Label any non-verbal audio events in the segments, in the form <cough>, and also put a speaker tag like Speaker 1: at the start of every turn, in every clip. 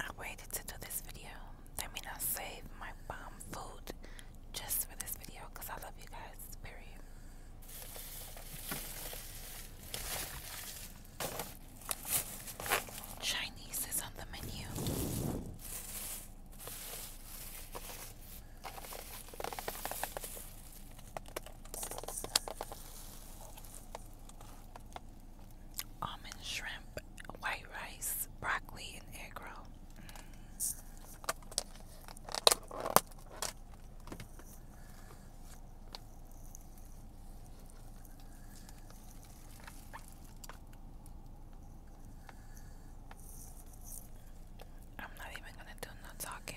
Speaker 1: I waited to do this video. I mean, I saved my bomb food just for this video because I love you guys. Period. Chinese is on the menu almond shrimp, white rice, broccoli, and egg roll. I'm not even gonna do no talking.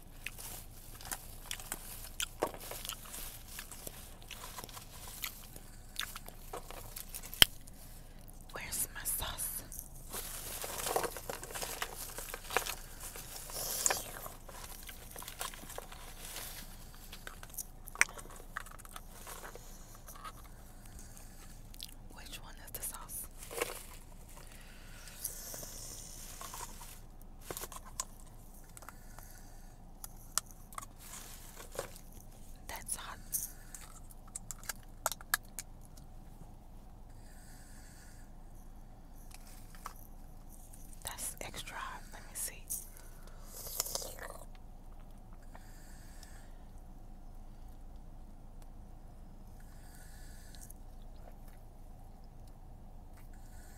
Speaker 1: Where's my sauce? Which one is the sauce? That's hot. That's extra hot. Let me see.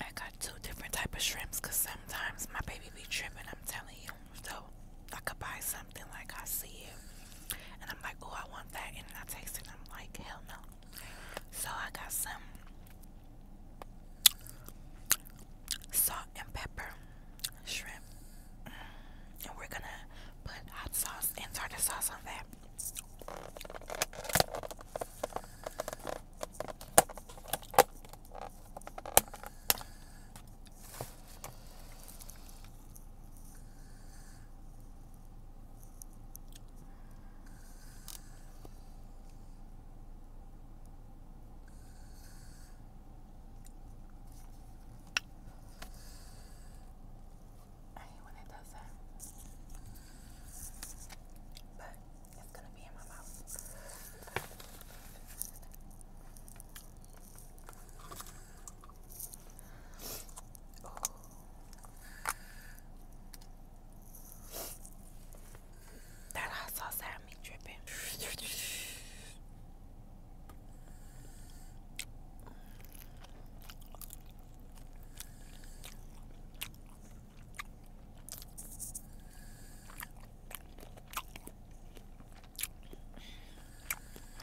Speaker 1: I got two different type of shrimps because sometimes my baby be tripping, I'm telling you. So I could buy something like I see it and I'm like, oh, I want that. And I taste it and I'm like, hell no. So I got some salt and pepper shrimp. And we're going to put hot sauce and tartar sauce on there. I hate when it does that. But it's gonna be in my mouth. That hot sauce had me dripping.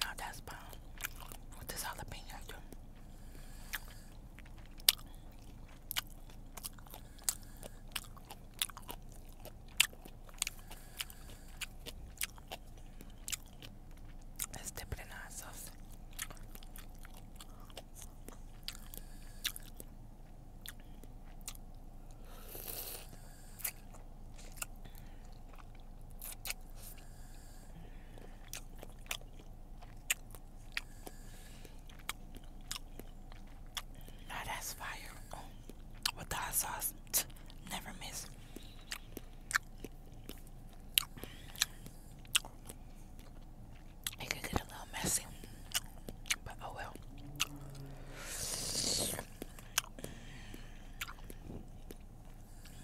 Speaker 1: Now oh, that's bomb. What does jalapeno do? Let's dip in our sauce. Now that's fire. Oh, with the sauce, never miss. It could get a little messy. But oh well.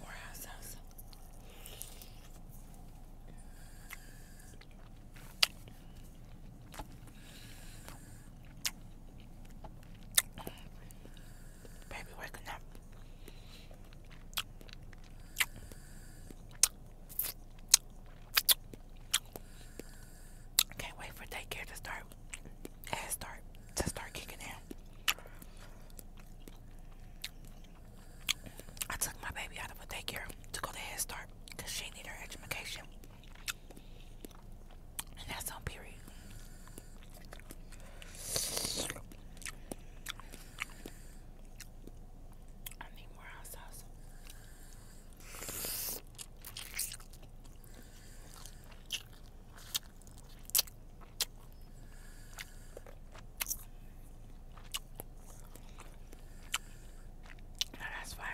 Speaker 1: More house Baby waking up. Can't wait for daycare to start. Head start to start kicking in. I took my baby out of a daycare to go to Head Start because she needed her education. that's on period. I need more hot sauce. Now that's fine.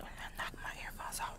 Speaker 1: I'm gonna knock my earphones out.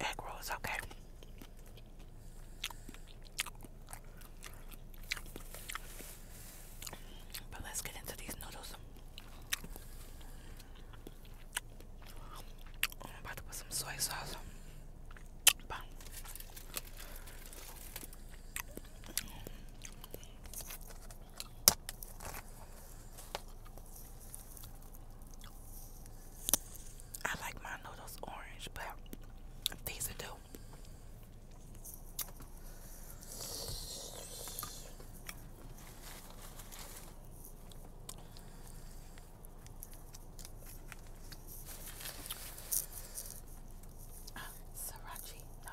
Speaker 1: Egg roll is okay. But let's get into these noodles. I'm about to put some soy sauce. I like my noodles orange, but these are do. Uh, ah, Sriracha, no.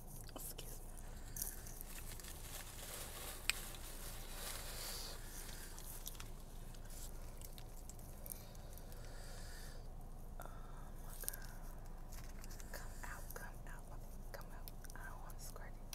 Speaker 1: Excuse me. Oh come out, come out, come out. I don't want to squirt it.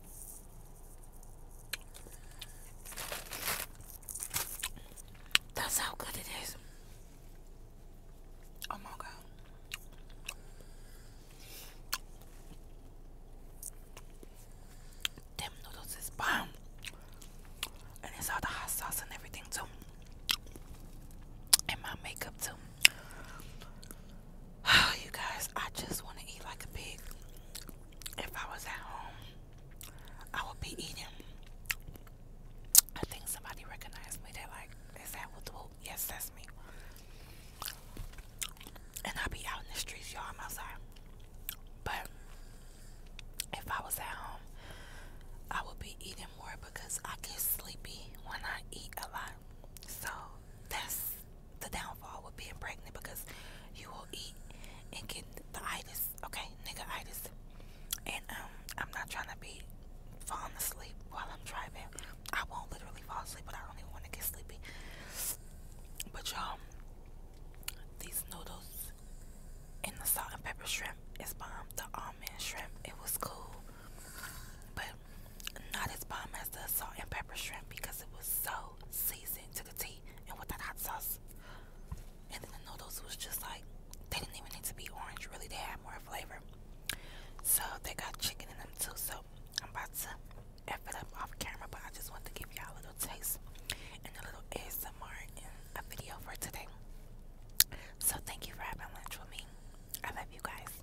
Speaker 1: That's how good it is. Oh my god. Them noodles is bomb. And it's all the hot sauce and everything too. And my makeup too. <sighs> you guys, I just want to eat like a pig if I was at home, I would be eating. I think somebody recognized me. They're like, is that what Yes, that's me. And I'll be out in the streets, y'all. I'm outside. But if I was at home, I would be eating more because I get sleepy when I eat a lot. So that's the downfall with being pregnant because you will eat and get the itis, okay, nigga itis. And um, I'm not trying to be falling asleep while I'm driving. I won't literally fall asleep, but I don't even want to get sleepy. But y'all, these noodles and the salt and pepper shrimp is bomb. The almond shrimp, it was cool, but not as bomb as the salt and pepper shrimp because it was so seasoned the T and with that hot sauce. And then the noodles was just like, they didn't even need to be orange, really, they had more flavor. So they got chicken in them too. So I'm about to F it up off camera, but I just want to give y'all a little taste and a little ASMR and a video for today. So thank you for having lunch with me. I love you guys.